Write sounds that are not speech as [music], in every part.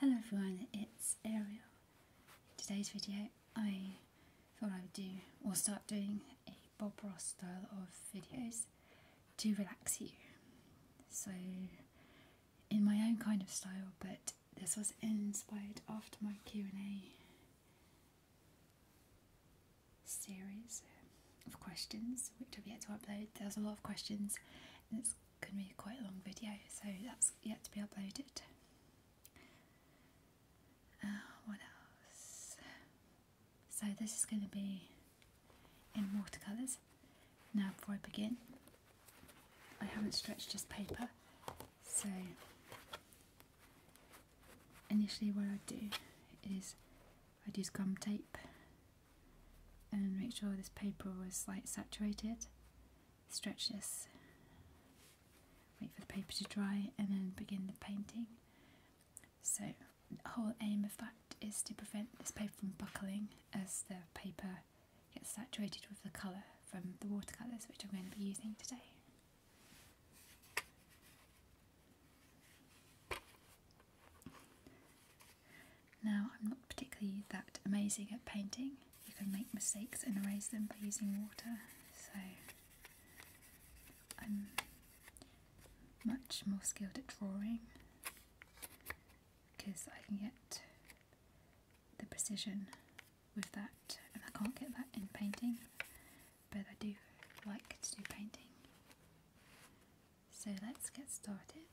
Hello everyone, it's Ariel. today's video I thought I would do or start doing a Bob Ross style of videos to relax you. So in my own kind of style but this was inspired after my Q&A series of questions which I've yet to upload. There's a lot of questions and it's going to be quite a long video, so that's yet to be uploaded. Uh, what else? So this is going to be in watercolours. Now before I begin, I haven't stretched this paper, so initially what I do is I'd use gum tape and make sure this paper was like saturated. Stretch this, wait for the paper to dry, and then begin the painting. So, the whole aim of that is to prevent this paper from buckling as the paper gets saturated with the colour from the watercolours which I'm going to be using today. Now, I'm not particularly that amazing at painting. You can make mistakes and erase them by using water, so I'm much more skilled at drawing because I can get the precision with that, and I can't get that in painting but I do like to do painting. So let's get started.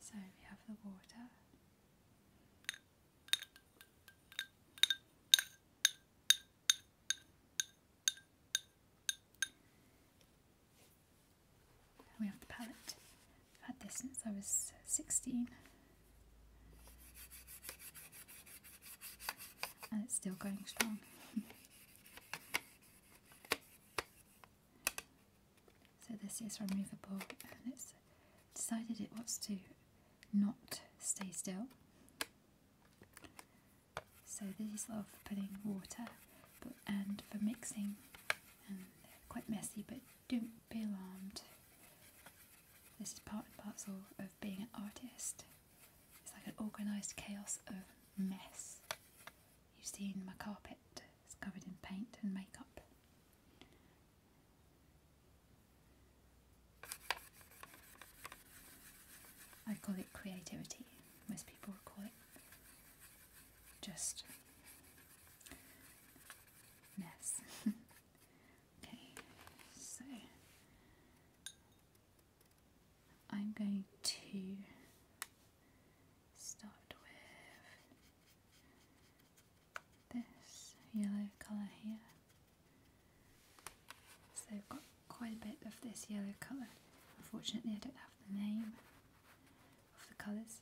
So we have the water. We have the palette. had this since I was 16 and it's still going strong. [laughs] so this is removable and it's decided it wants to not stay still. So these are for putting water and for mixing and they're quite messy but don't be alarmed. This is part and parcel of being an artist. It's like an organised chaos of mess. You've seen my carpet, it's covered in paint and makeup. I call it creativity. Most people call it just mess. [laughs] okay, so I'm going to start with this yellow colour here. So I've got quite a bit of this yellow colour. Unfortunately I don't have the name of the colours.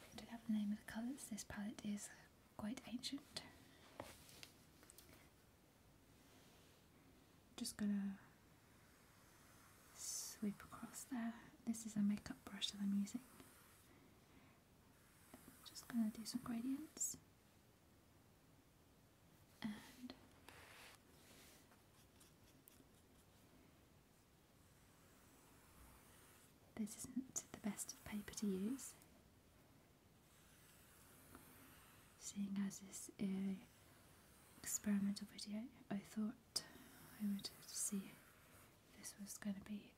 I don't have the name of the colours. This palette is quite ancient. Just gonna sweep across there. This is a makeup brush that I'm using. Just gonna do some gradients. And this isn't the best paper to use. Seeing as this uh, experimental video, I thought I would see if this was going to be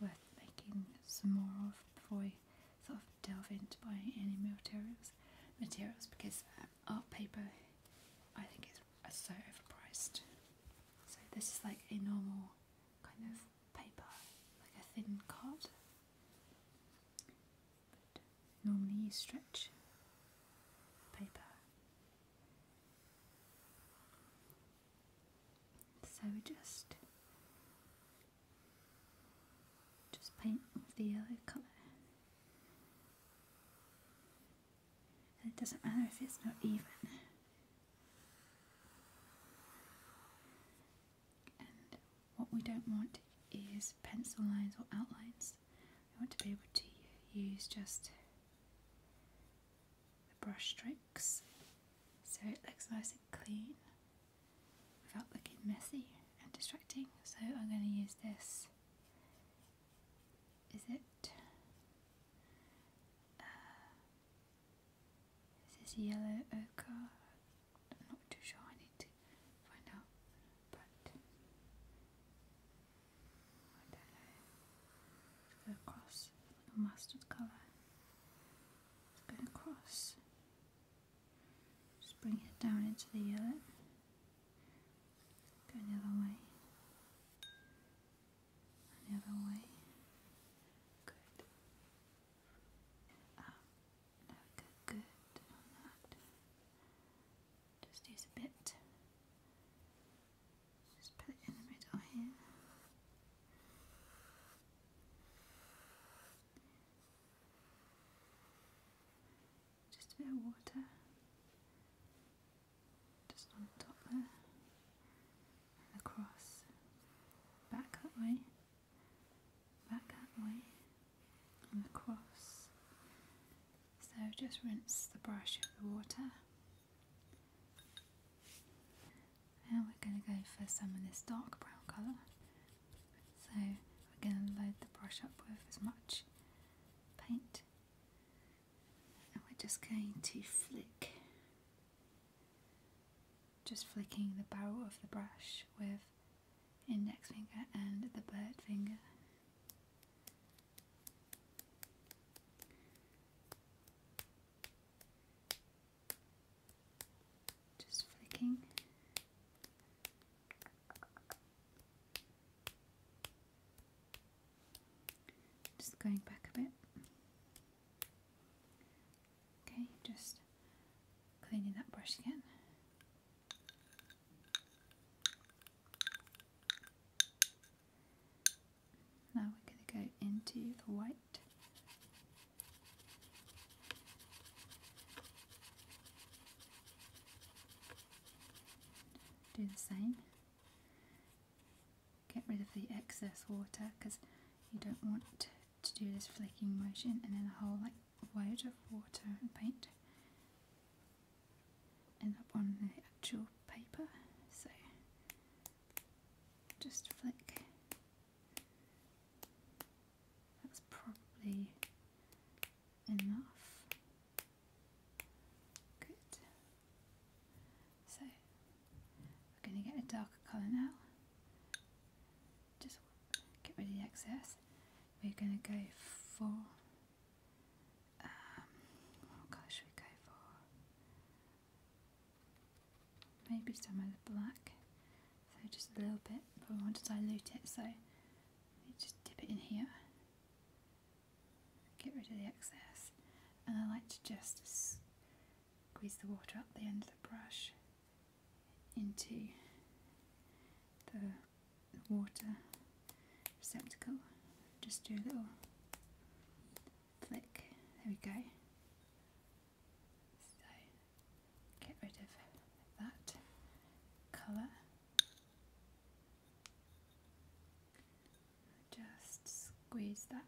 worth making some more of before I sort of delve into buying any materials, materials because uh, art paper I think is uh, so overpriced. So this is like a normal kind of paper, like a thin card normally you stretch paper. So just just paint the yellow colour. And it doesn't matter if it's not even what we don't want is pencil lines or outlines. We want to be able to use just the brush strokes so it looks nice and clean without looking messy and distracting. So I'm going to use this. Is it? Uh, this is yellow ochre. not too sure, I need to find out. But I don't know. go across a mustard color go across. Just bring it down into the yellow. Go the other way. the other way. Good. Just use a bit. Just put it in the middle here. Just a bit of water. Just on top there and across. Back that way, back that way, and across. So just rinse the brush of the water. Now we're going to go for some of this dark brown colour. So we're going to load the brush up with as much paint. And we're just going to flick just flicking the barrel of the brush with index finger and the bird finger. Just flicking. Just going back a bit. Okay, just cleaning that brush again. Now we're going to go into the white. Do the same. Get rid of the excess water because you don't want to, do this flicking motion and then a whole like load of water and paint end up on the actual paper. So just flick. That's probably enough. Good. So we're going to get a darker colour now. Just get rid of the excess. We're going to go for um, what colour should we go for? Maybe some of the black. So just a little bit, but we want to dilute it. So we just dip it in here get rid of the excess and I like to just squeeze the water up the end of the brush into the water receptacle just do a little flick there we go so get rid of that colour just squeeze that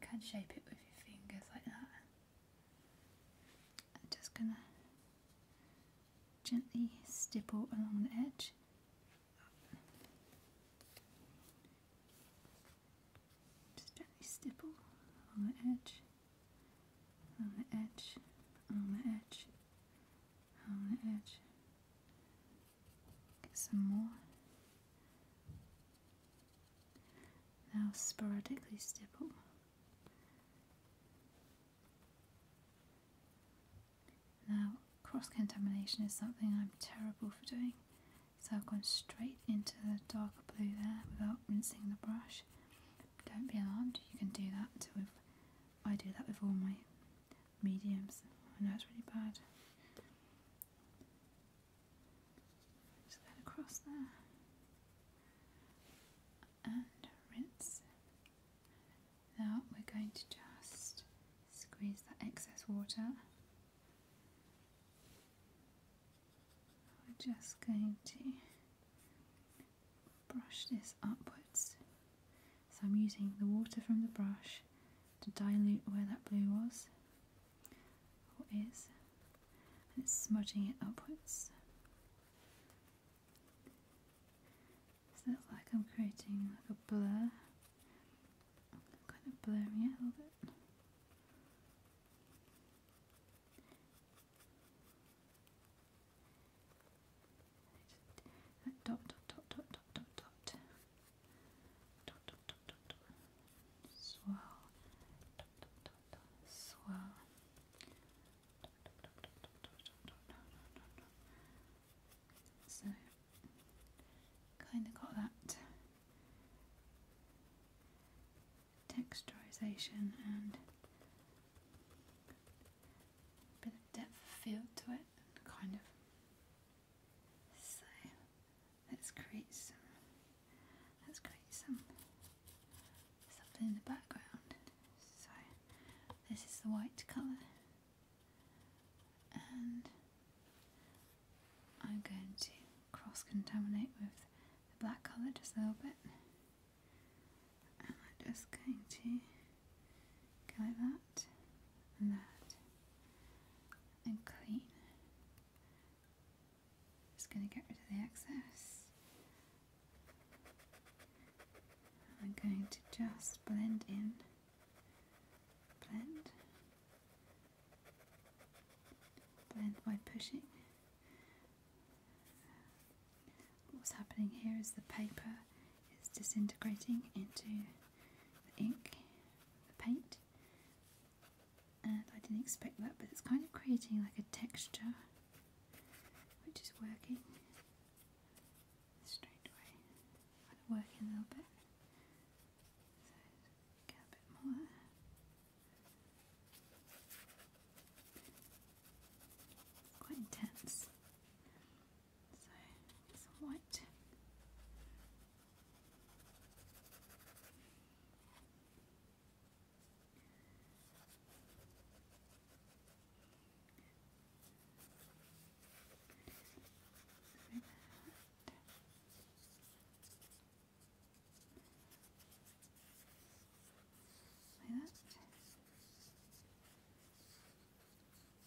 you can shape it with your fingers like that. I'm just gonna gently stipple along the edge. Just gently stipple along the edge, on the edge, on the edge, on the edge. Get some more. Now sporadically stipple. Now cross contamination is something I'm terrible for doing. So I've gone straight into the darker blue there without rinsing the brush. Don't be alarmed, you can do that I do that with all my mediums. I know it's really bad. Just that across there. And rinse. Now we're going to just squeeze that excess water. We're just going to brush this upwards. So I'm using the water from the brush to dilute where that blue was or and it's smudging it upwards. So that's like I'm creating like a blur. I'm kind of blurring it a little bit. That dot dot dot dot dot dot so kind of got that texturization and a bit of depth feel to it and kind of so let's create some let's create some something background. So this is the white colour and I'm going to cross contaminate with the black colour just a little bit. And I'm just going to go like that and that and clean. Just going to get rid of the excess. I'm going to just blend in, blend, blend by pushing. What's happening here is the paper it's disintegrating into the ink, the paint. And I didn't expect that, but it's kind of creating like a texture which is working straight away. i a little bit. So get a bit more. quite intense. So some white. Like that.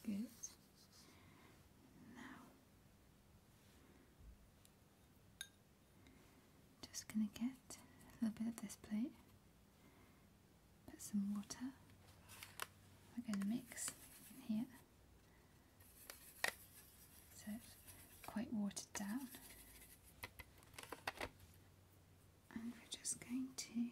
Good just going to get a little bit of this plate, put some water, we're going to mix in here so it's quite watered down. And we're just going to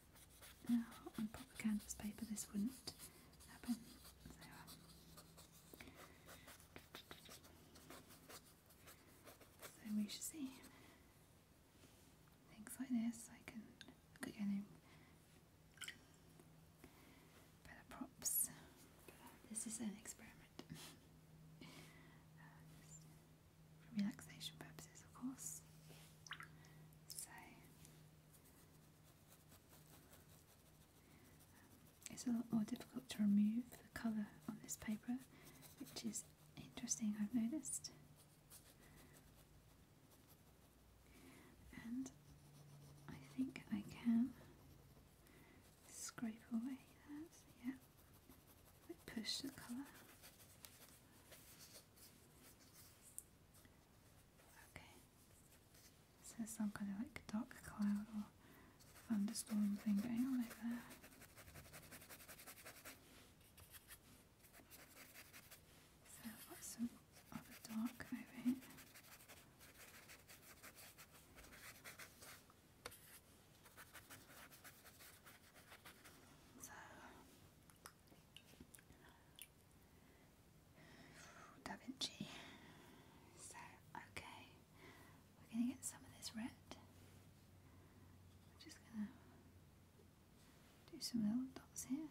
Oh, now, on proper canvas paper, this wouldn't happen. Uh, so, we should see. Things like this, I can look Better props. this is an experiment. [laughs] Uh, for relaxation purposes, of course. So, it's a lot more difficult to remove the colour on this paper, which is interesting, I've noticed. And I think I can scrape away that, yeah, push the colour. Okay. This some kind of like dark cloud or thunderstorm thing going on over there. So I've got some other dark over here. So Da So, okay, we're going to get some of this red. just going to do some little dots here.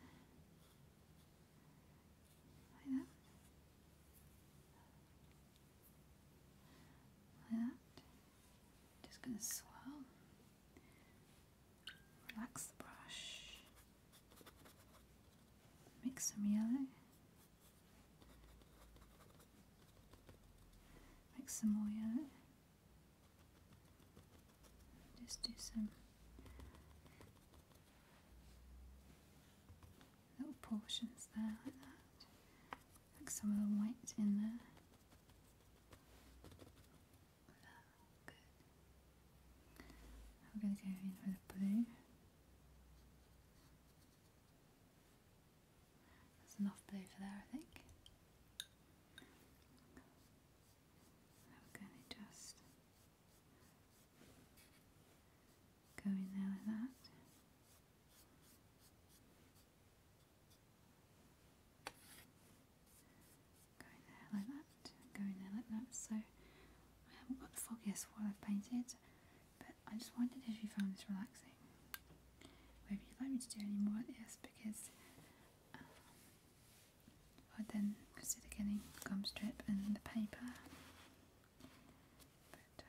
Like that. Like that. Just going to swirl. Relax the brush. Make some yellow. Make some more yellow. Just do some little portions there like that. Like some of the white in there. Good. We're gonna go in for the blue. That's enough blue for there, I think. I'm gonna just go in there like that. Go in there like that, go in there like that. So I haven't got the foggiest what I've painted, but I just wondered if you found this relaxing. Whether you'd like me to do any more of this because um, I'd then consider getting gum strip and the paper. But then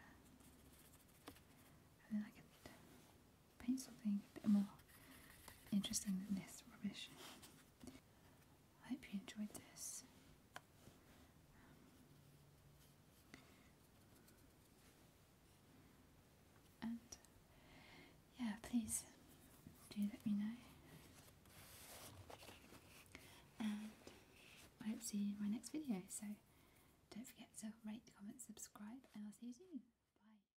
uh, I could paint something a bit more interesting than this rubbish. I hope you enjoyed this. and yeah, please do let me know. And I hope to see you in my next video. So don't forget to rate, comment, subscribe, and I'll see you soon.